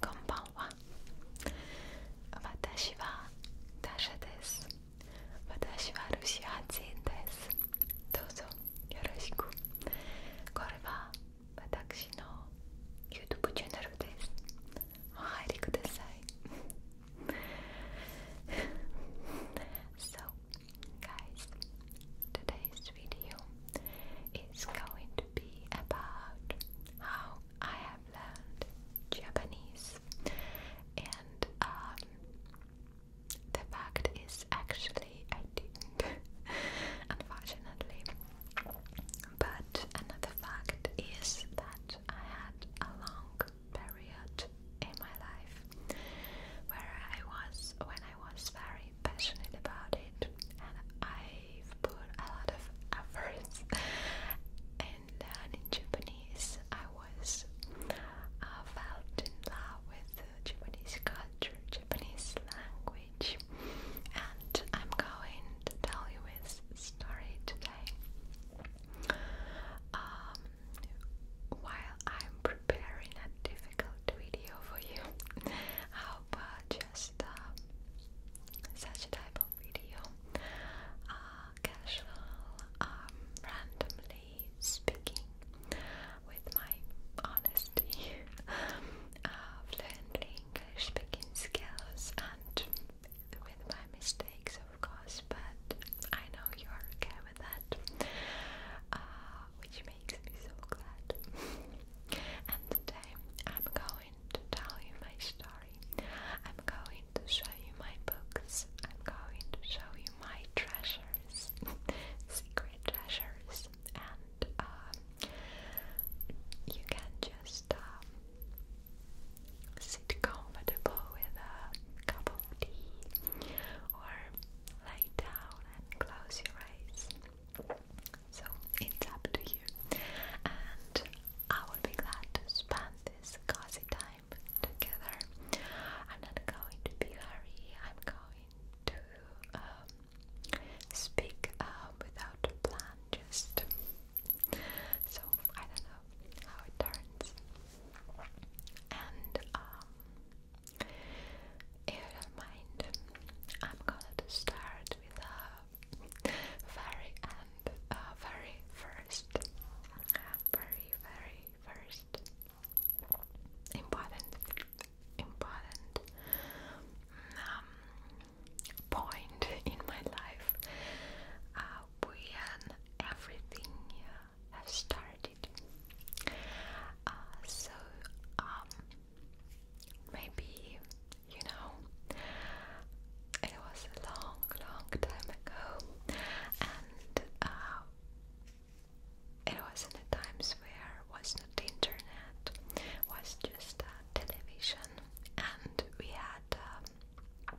こんばんは私はダシャです私はルシア人ですどうぞよろしくこれは私の YouTube チャンネルですお入りください guys today's video is going to be about how I have learned Japanese and um, the fact is, actually, I didn't, unfortunately. But another fact is that I had a long period in my life where I was when I was very passionate about it, and I've put a lot of efforts in learning Japanese. I was uh, felt in love with Japanese culture, Japanese language, and I'm going to tell you his story today. Um, while I'm preparing a difficult video for you, how about just uh, such type of video, uh, um, randomly speaking with my honesty, fluently English speaking skills, and with my mistakes, of course. But I know you are okay with that, uh, which makes me so glad. and today I'm going to tell you my story. I'm going to show you my books. I'm going to show you my treasures secret treasures, and uh, you can just um, sit comfortable with a cup of tea or lay down and close your eyes. So it's up to you, and I would be glad to spend this cozy time together. I'm not going to be hurry. I'm going to um, speak uh, without a plan. Just so I don't know how it turns. And um, if you don't mind, I'm gonna to start with a very and uh, very first, uh, very very first important important um, point in my life uh, when everything uh, has started uh, so um, maybe you know it was a long long time ago and it was in the times where was not the internet, was just television, and we had um,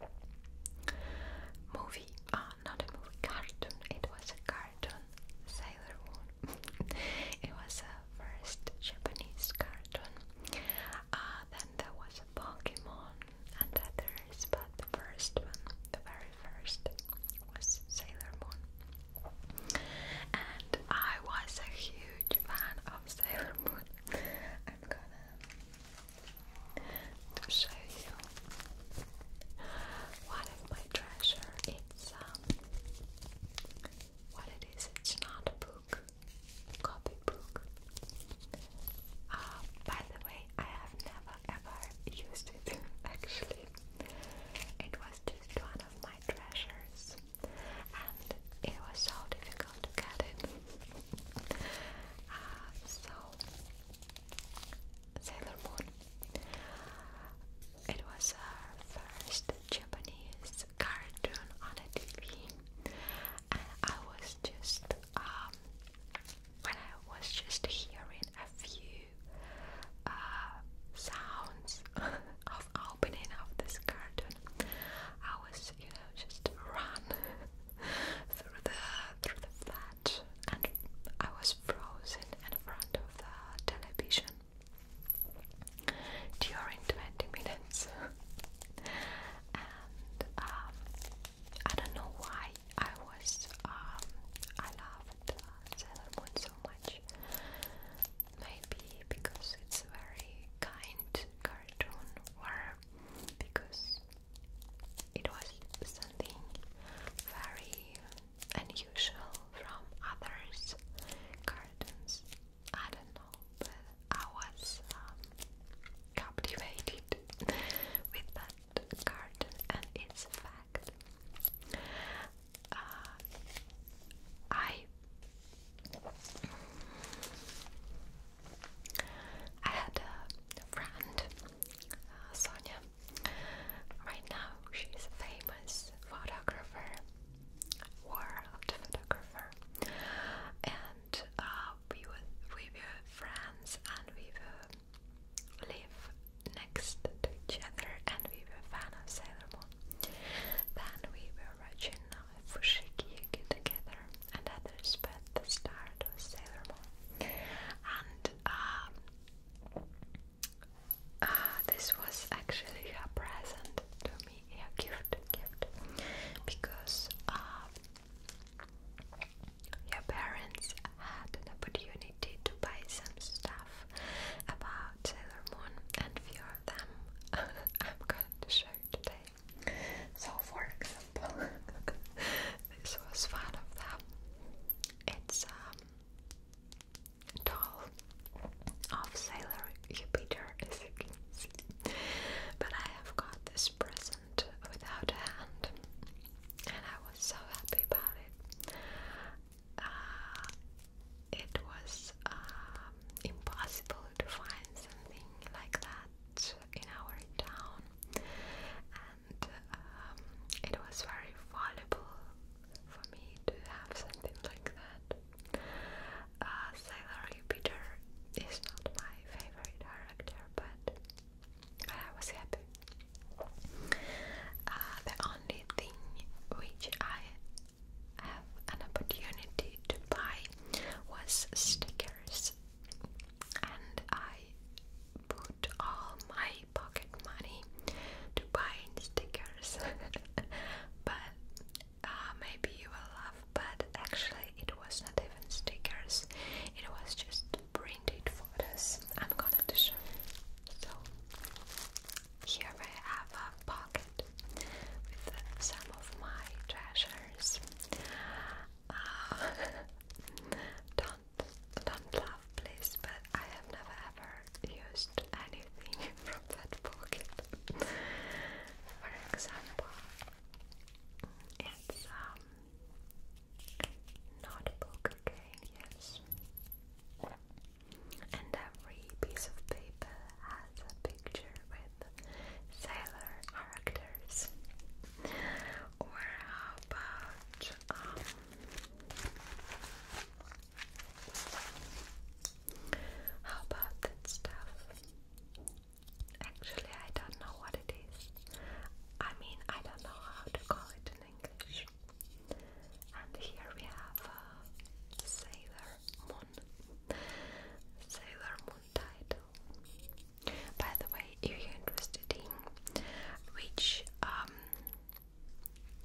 movie, uh, not a movie, cartoon. It was a cartoon, Sailor Moon. it was a first Japanese cartoon. Uh, then there was a Pokemon and others, but the first one, the very first, was Sailor Moon. And I was a huge fan of Sailor Moon. I'm gonna to show you one my treasure. It's um, what it is, it's not a book, copy book. Uh, by the way, I have never ever used it actually. It was just one of my treasures, and it was so difficult to get it. Uh, so, Sailor Moon. It was our first Japanese cartoon on a TV, and I was just um, when I was just hearing a few uh, sounds of opening of this carton, I was, you know, just run through the through the flat, and I was frozen in front of the television during twenty minutes. and um, I don't know why I was, um, I loved uh, Sailor Moon so much. Maybe because it's very kind cartoon, or because it was something very unusual from others' cartoons. I don't know, but I was um, captivated with that garden and it's fact. Uh, I I had a friend, uh, Right now she's a famous photographer, world photographer, and uh, we were we were friends and we were live next to each other and we were a fan of Sailor Moon. Then we were watching uh, Fushigi Yugi together and others but the star was Sailor Moon. And um, uh, this was actually a present to me, a gift, gift because um, your parents had an opportunity to buy some stuff about Sailor Moon, and few of them I'm going to show you today. So, for example, this was one of them. It's um, doll of Sailor Jupiter, as you can see. But I have got this present without a hand and I was so happy about it. Uh, it was um, impossible to find something like that in our town, and um, it was very valuable for me to have something like that. Uh, Sailor Jupiter is not my favorite character, but but I was happy. Ah, the only thing which I have an opportunity to buy was stickers, and I put all my pocket money to buy stickers. but ah, maybe you will love, but actually, it was not even stickers, it was just printed photos I'm gonna to show you. So here I have a pocket with some of my treasures. Uh, don't don't laugh please, but I have never ever used anything from that pocket. For example, it's um, not poker cane, yes. And every piece of paper has a picture with sailor characters. Or how about um, how about that stuff? Actually I don't know what it is. I mean I don't know how to call it English. And here we have uh, Sailor Moon. Sailor Moon title. By the way, if you're interested in which um,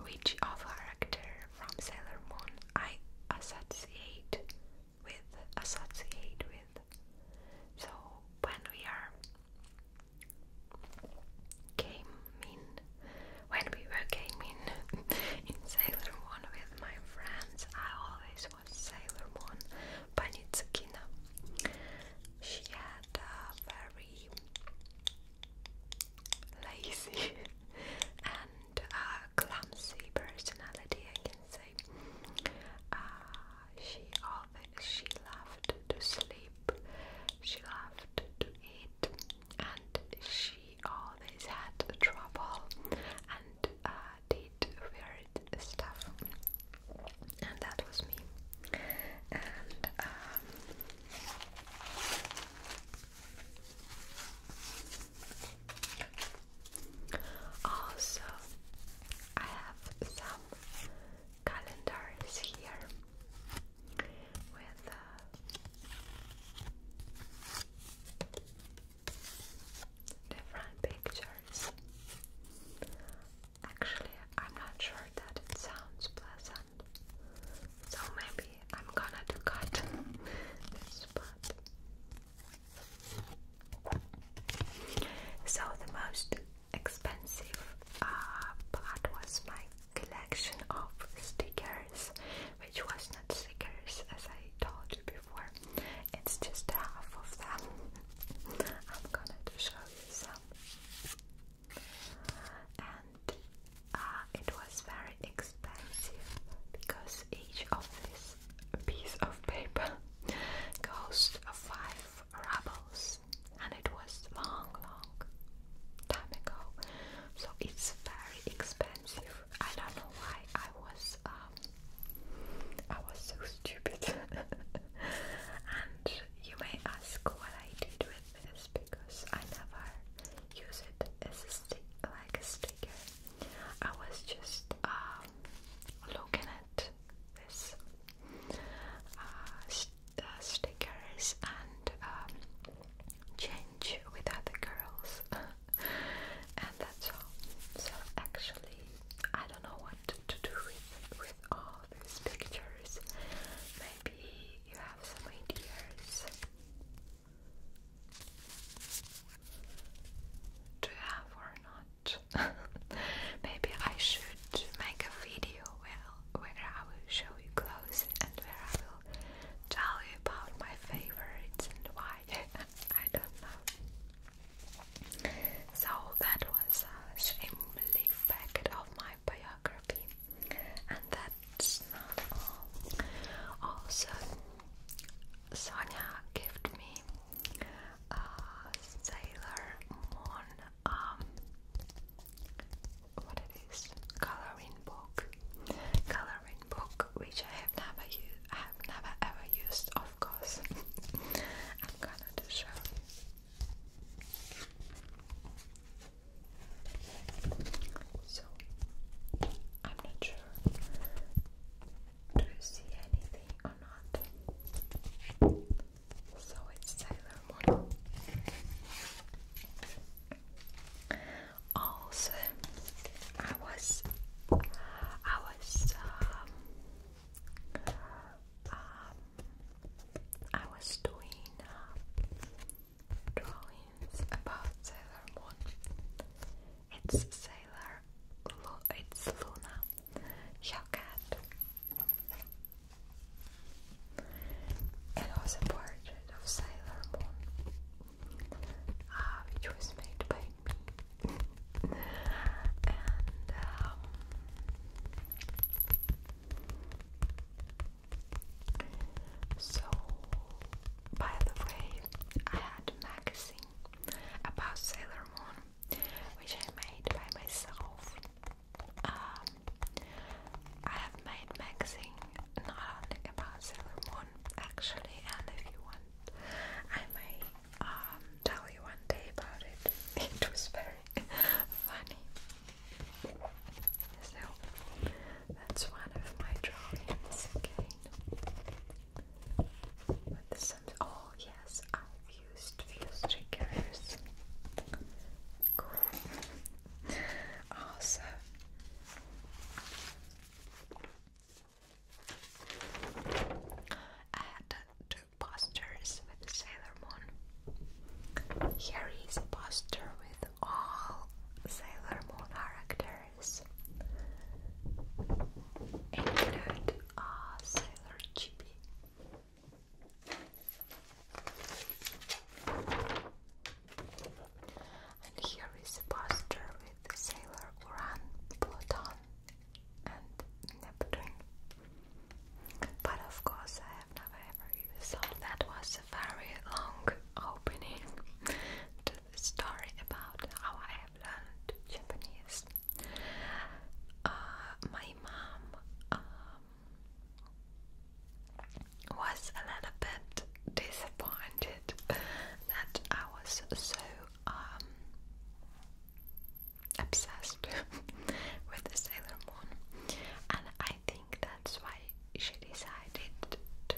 which of character from Sailor Moon I associate with associate with. So when we are came in when we were came in Sailor Moon with my friends. I always was Sailor Moon Panitsukina. She had a very lazy and uh, clumsy personality, I can say. Uh, she always she loved to sleep, she loved to eat, and she always had trouble and uh, did weird stuff. And that was me. And um, also, I have some calendar is here with uh, different pictures. Actually, I'm not sure that it sounds pleasant, so maybe I'm gonna do cut this part. So the most expensive uh, part was my collection of stickers, which was not stickers as I told you before, it's just half of them. I'm gonna show you some. And uh, it was very expensive because each of this piece of paper cost five of and it was long, long time ago. So it's very expensive. I don't know why I was um, I was so stupid. and you may ask what I did with this because I never use it as a stick, like a sticker. I was just um, looking at this uh, the stickers and um, change with other girls, and that's all. So actually, I don't know what to do with with all these pictures. Maybe you have some ideas. Do have or not? Maybe I should make a video where where I will show you clothes and where I will tell you about my favorites and why. I don't know. So that was a shamefully fact of my biography, and that's not all. Also, Sonia gave me a Sailor Moon um, what it is coloring book coloring book which I have never used I have never ever used of course I'm gonna to show so I'm not sure do you see anything or not? So it's Sailor Also, I was, I was, um, um I was doing uh, drawings about Sailor It's Sailor, it's Luna, your cat. It was a portrait of Sailor Moon, which was made by me. Um, so, by the way, I had a magazine about Sailor Moon, which I made by myself. Um, I have made magazine not only about Silver Moon actually, and if you want, I may um, tell you one day about it. It was very funny. So that's one of my drawings With some, oh yes, I've used few triggers. Cool. Awesome. Add two posters with Sailor Moon. Here is a poster with all Sailor Moon characters. Include uh, Sailor Chibi, and here is a poster with Sailor Uran, Pluton, and Neptune. But of course, I have never ever even that was a very long opening story about how I have learned Japanese. Uh, my mom um, was a little bit disappointed that I was so um, obsessed with the Sailor Moon, and I think that's why she decided to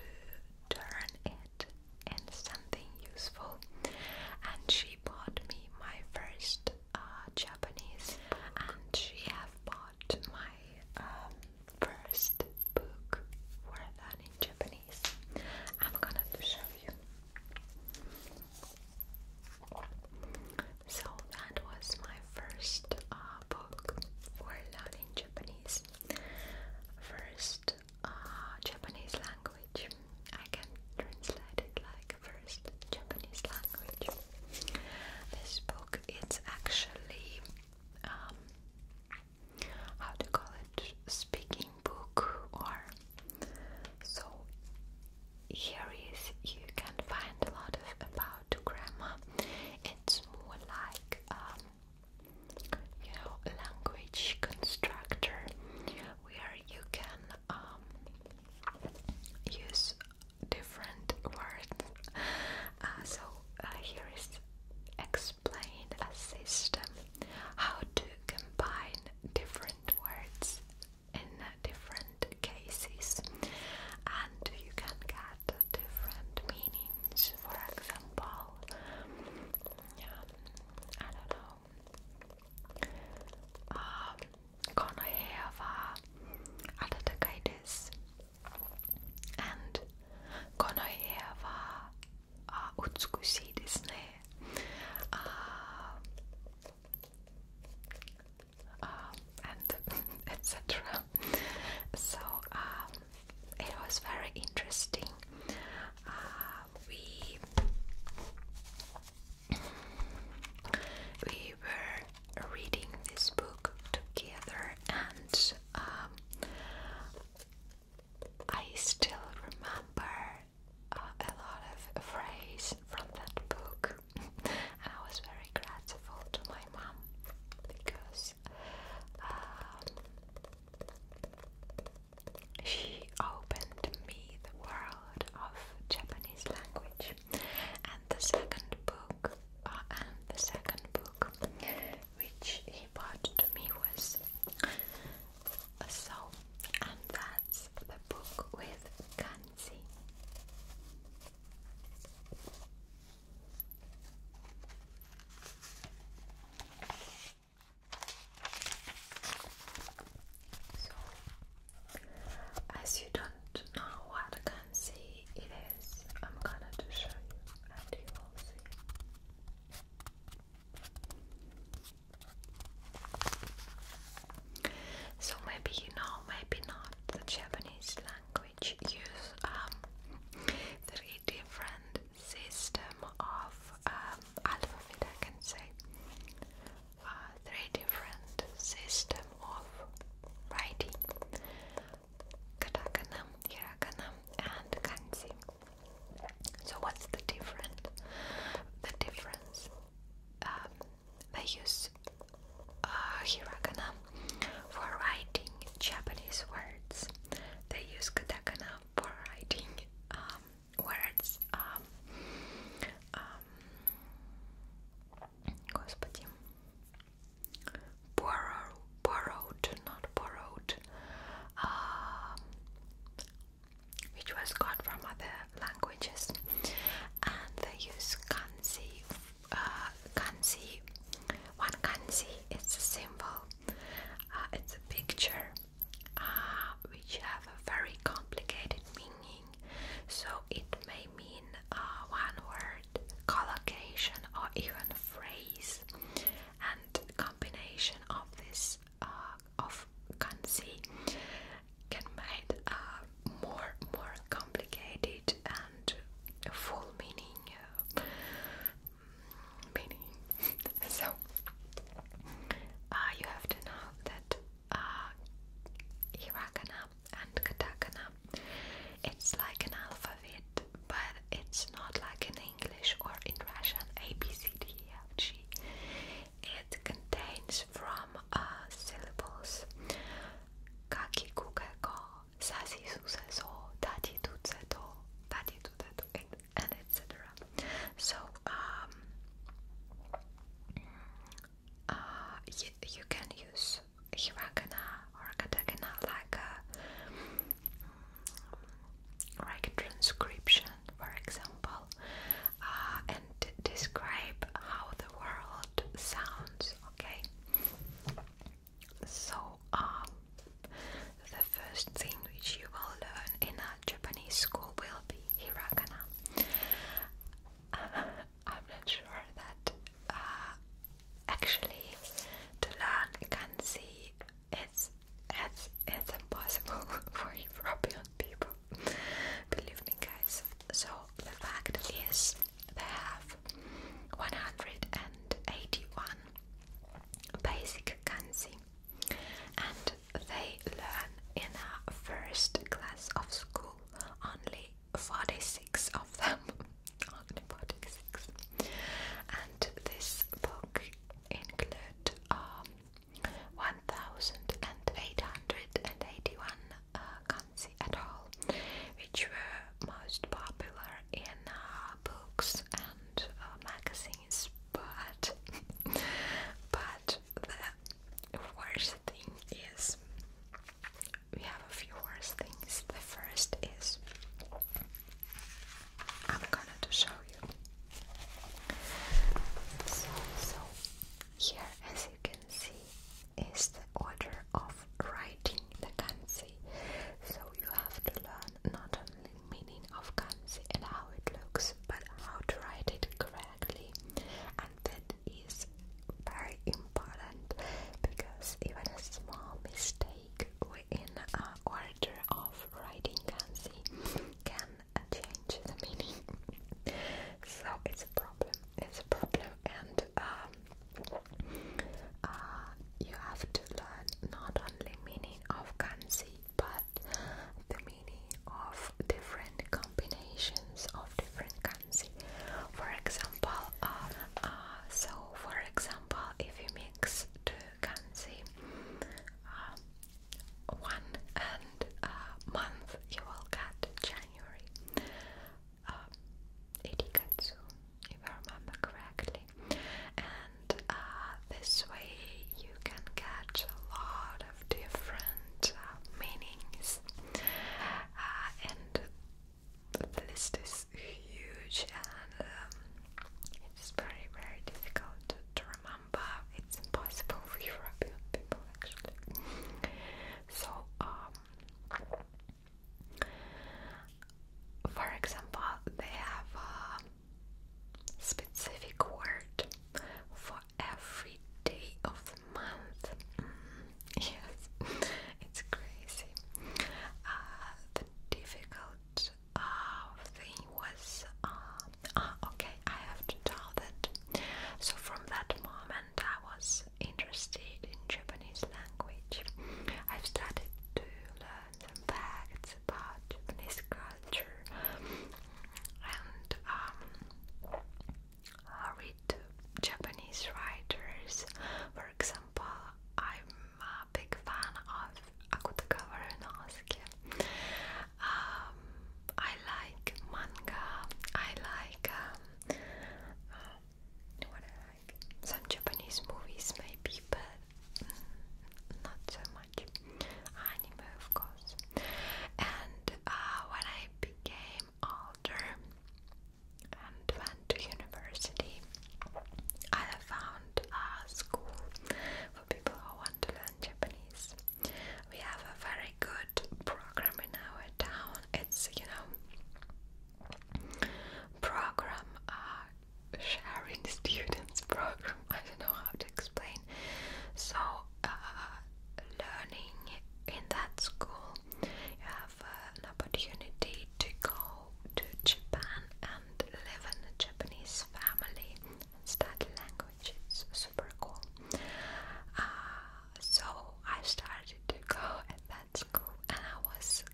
turn it into something useful. And she bought me my first uh, Japanese, and she have bought bought my um, first book were done Japanese. I'm gonna show you. So that was my first uh, book for learning Japanese. First uh, Japanese language. I can translate it like first Japanese language. This book it's actually um, how to call it speaking book or so here is you can find a lot of about grammar. It's more like um, you know language constructor where you can um, use different words. Uh, so uh, here is explain a system how to combine different words in uh, different cases, and you can get different meanings. For example, I don't know. Um, Conair var Atatürk'deyiz. And Conair var uh, Utkusidisne. Uh, uh, uh um, and etc. So it was very interesting. Uh, we we were reading this book together, and um, I still remember uh, a lot of phrases from that book. and I was very grateful to my mom because um, she opened me the world of Japanese language and the second book uh, and the second book which he bought to me was a soul and that's the book with kanji as you don't know what kanji it is, I'm gonna to show you and you will see. So maybe you know, maybe not. The Japanese language use um, three different system of um, alphabet. I can say uh, three different system of writing katakana, hiragana and kanji so what's the different the difference um, they use uh, hiragana for writing Japanese words they use katakana for writing um, words um, Господи. Borrow, borrowed, not borrowed. Uh, which was got from other languages, and they use kanji. Uh, kanji, one kanji is a symbol. Uh, it's a picture uh, which have a very complicated meaning. So it may mean uh, one word, collocation, or even phrase. And combination of this uh, of kanji can make uh, more more complicated and full meaning uh, meaning. so uh, you have to know that uh, hiragana and katakana it's like an alphabet, but it's not like in English or in Russian A B C D E F G. It contains from uh, syllables kaki kuka ko, sasi suse so, tati tutse to, tati and etc. So um, uh, you, you can use hiragana or katakana like a mm, like transcription, for example, uh, and describe how the world sounds. Okay, so um, the first thing which you will learn in a Japanese school will be hiragana. I'm not sure that uh, actually to learn Kanzi it's, it's impossible for European people. Believe me, guys. So the fact is, they have 181 basic Kanzi, and they learn in a first class of school only 46 of them. 46. And this book include um, 1,881 uh, kanji at all, which were most popular in uh, books and uh, magazines, but but the worst thing is we have a few worse things. The first is I'm gonna to show you. So, so here, as you can see, is the order of writing the kanji. So you have to learn not only meaning of kanji and how it looks, but how to write it correctly, and that is very important because even a small mistake within a order of writing kanji can change the meaning. so it's a problem. It's a problem, and um, uh, you have to learn not only meaning of kanji but the meaning of different combinations of different kanji. For example, uh, uh, so for example, if you mix two kanji, uh, one and month, you will get January. Uh, Irikatsu, if I remember correctly, and this way you can catch a lot of different meanings, and the list is huge and um, it's very very difficult to, remember. It's impossible for European people actually. So um, for example, they have a specific word for every day of the month. Mm, yes, it's crazy. Uh, the difficult uh, thing was um, uh, okay, I have to tell that. So, from that moment, I was interested in Japanese language. I've started to learn some facts about Japanese culture and um, I read Japanese writers. For example, I'm a big fan of Akutagawa Ryunosuke. Um, I like manga. Um, uh, I like some Japanese movies, maybe, but mm, not so much anime, of course. And uh, when I became older, and went to university. I have found a school for people who want to learn Japanese. We have a very good program in our town. It's, you know, program, uh, sharing students program. I don't know how to explain. So, uh, learning in that school you have uh, an opportunity to go to Japan and live in a Japanese family and study language. It's super cool. Uh, so I started to go at that school and I was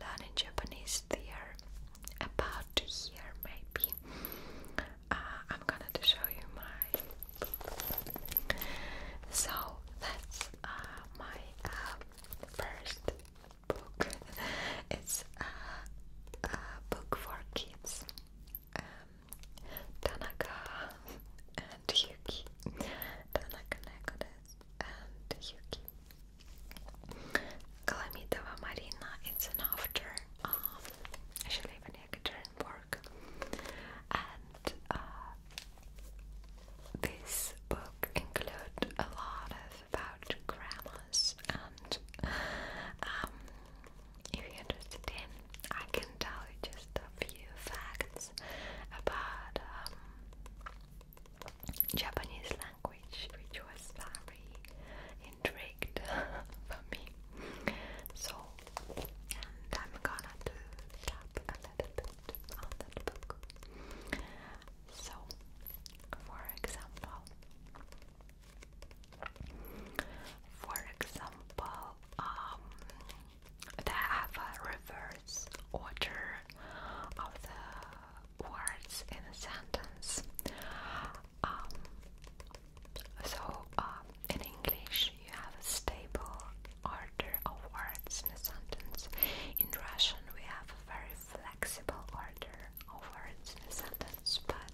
learning Japanese there about a year maybe. Uh, I'm gonna to show you my so that's uh, my uh, first book. it's uh, a book for kids. Um, Tanaka and Yuki. Tanaka Nekodes and Yuki. Kalamidova Marina. It's an after. Um, I should leave turn for work. And uh, this book includes a lot of about grammars and um, if you're interested in, I can tell you just a few facts about um, Japanese language, which was very intrigued for me. So, I'm gonna do tap a little so, for example, for example, um, they have a reverse order of the words in a sentence. Um, so, uh, in English, you have a stable order of words in a sentence. In Russian, we have a very flexible order of words in a sentence, but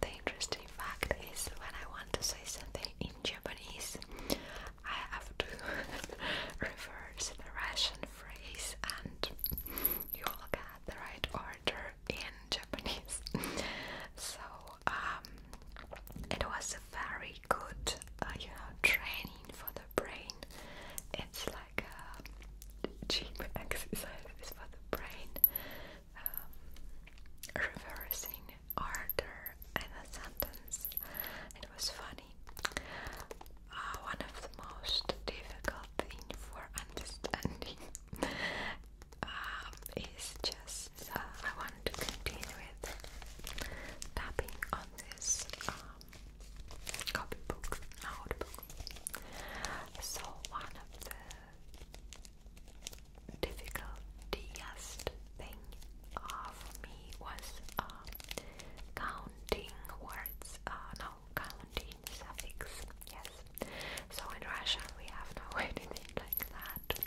the interesting fact is when I want to say something in Japanese, I have to reverse the Russian phrase and you will get the right order in Japanese. so um, it was a very good, uh, you know, training for the brain. It's like cheap exercise for the brain, um, reversing order in a sentence. It was funny. Uh, one of the most difficult thing for understanding um, is just so I want to continue with tapping on this um, copybook, notebook. So one of the difficultiest thing for me was um, counting words, uh, no, counting suffix, yes. So in Russia we have no anything like that.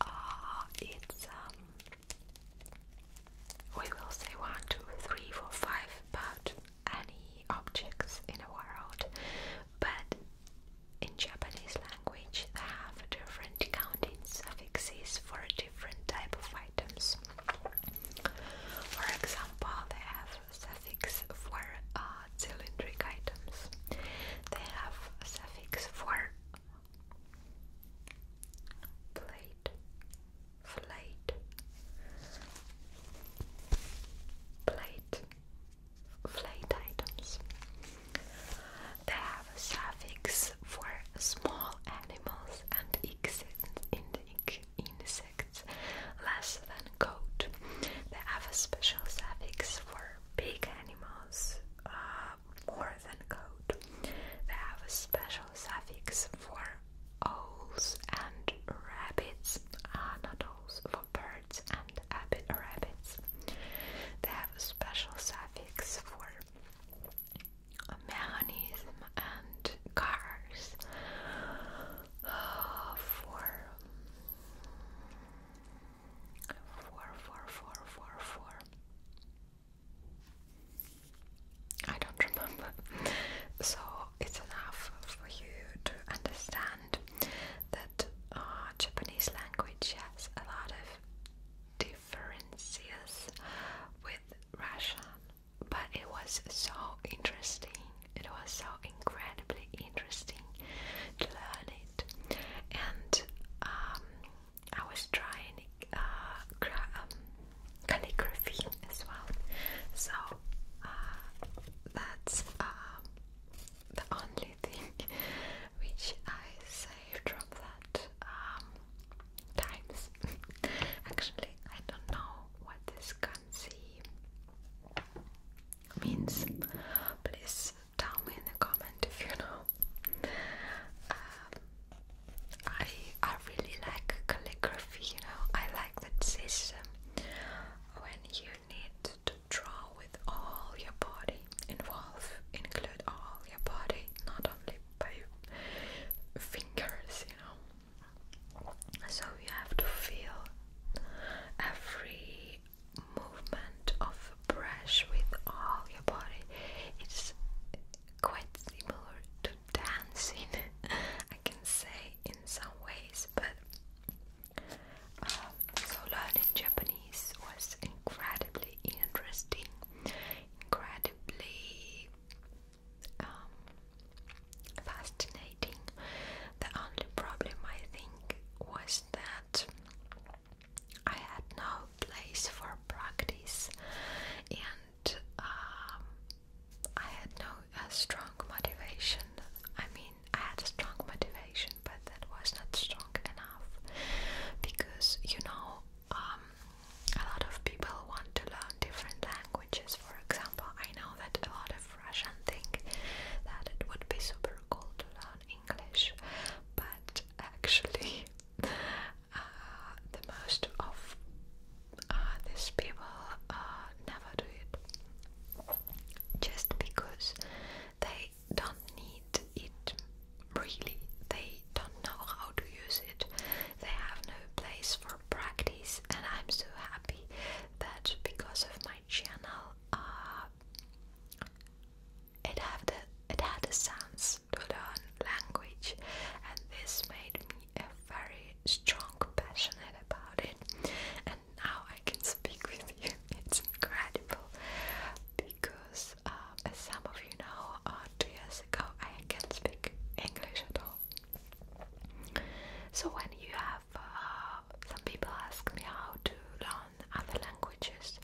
Uh, it's um, we will say 1, 2, any objects in a world, but in Japanese language they have different counting suffixes for different type of items. For example, they have suffix for uh, items. They have a suffix for plate, plate, plate, plate items. They have a for small animals and insects less than goat. They have a special suffix for big animals, uh, more than code. They have a special suffix for owls and rabbits, ah, for birds and rabbits. They have a special suffix for mechanism and cars, ah, for Four, four, four, four, four. I don't remember. So it's enough for you to understand that uh, Japanese language has a lot of differences with Russian, but it was so interesting. It was so incredibly interesting to learn it, and um, I was trying uh, um, calligraphy as well. So uh, that's um, the only thing which I saved from that um, times. Actually, I don't know what this kanji means. Please tell me in the comment if you know. Um, I I really like calligraphy, you know. I like that system when you need to draw with all your body, involve, include all your body, not only by fingers, you know. So you have to feel every movement of a brush with all your body. It's quite similar to dancing, I can say, in some ways, but. Um, so learning Japanese was incredibly interesting, incredibly um, fascinating. The only problem I think was that I had no place for practice, and um, I had no uh, strong motivation. I mean, I had strong motivation, but that was not strong enough because you know, um, a lot of people want to learn different languages. For example, I know that a lot of Russian think that it would be super cool to learn English, but actually, uh, the most of uh, these people uh, never do it just because they don't need it really, they don't know how to use it, they have no place for practice, and I'm so happy that because of my channel. It had the, it had a sense to learn language, and this made me a very strong passionate about it. And now I can speak with you. It's incredible because, uh, as some of you know, uh, two years ago I can't speak English at all. So when you have uh, some people ask me how to learn other languages,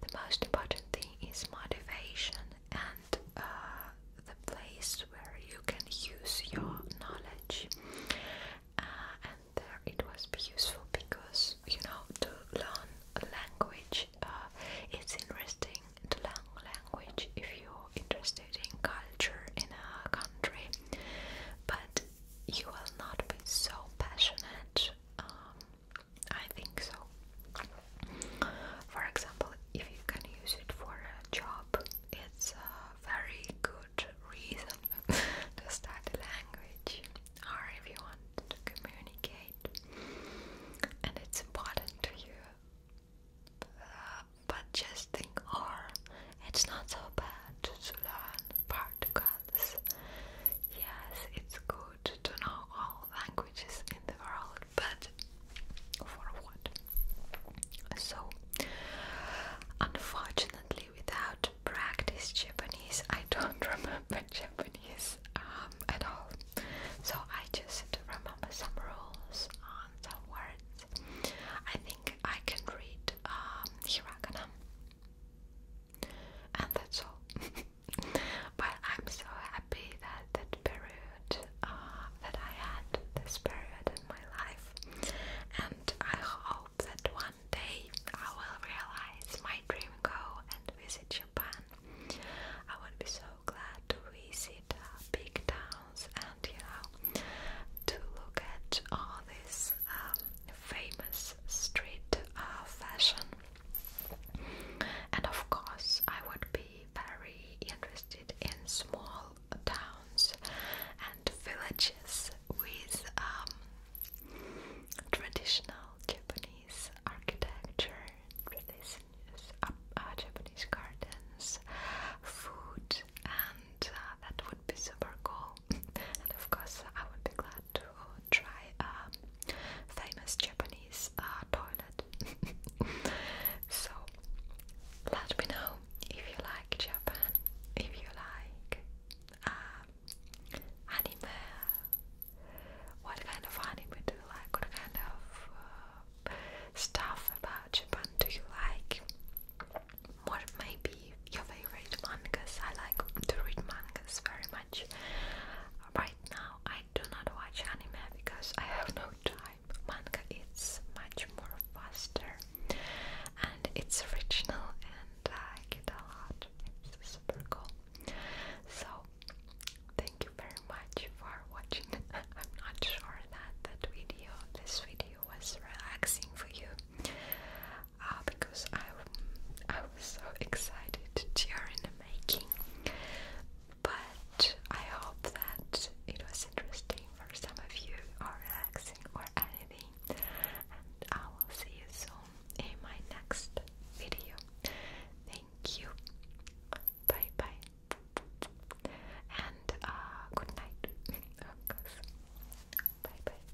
the most important thing is motivation and uh, the place where you can use your knowledge. Uh, and there it was useful because you know to learn a language, uh, it's interesting to learn language if you're interested in culture in a country, but you will not be so passionate. Um, I think so. For example, if you can use it for a job, it's a very good reason to study language, or if you want to communicate, and it's important to you. Uh, but just think, or oh, it's not so bad to learn particles. Yes, it's good to know all languages in the world, but for what? So, unfortunately, without practice Japanese, I don't remember Japanese um, at all. So, I just remember some rules on some words. I think I can read um, hiragana, and that's all. But I'm so happy that that period, uh, that I had this period in my life, and I hope that one day I will realize my dream goal and visit Japan. I would be so glad to visit uh, big towns and you know to look at all this um, famous street uh, fashion and of course, I would be very interested in small towns and villages with um, traditional Japanese architecture, traditions, uh, Japanese gardens, food, and uh, that would be super cool. and of course, I would be glad to try a famous Japanese uh, toilet. so let me know if you like Japan, if you like uh, anime. What kind of anime do you like? What kind of uh, stuff about Japan do you like? What may your favorite mangas? I like to read mangas very Right now, I do not watch anime because I have no time. Manga is much more faster and it's original, and I get a lot. It's super cool. So, thank you very much for watching. I'm not sure that that video, this video, was relaxing for you. Uh, because I, was so excited during the making. But I hope that it was interesting for some of you, or relaxing, or anything. And I will see you soon in my next video. Thank you. Bye bye. And uh, good night. Bye bye.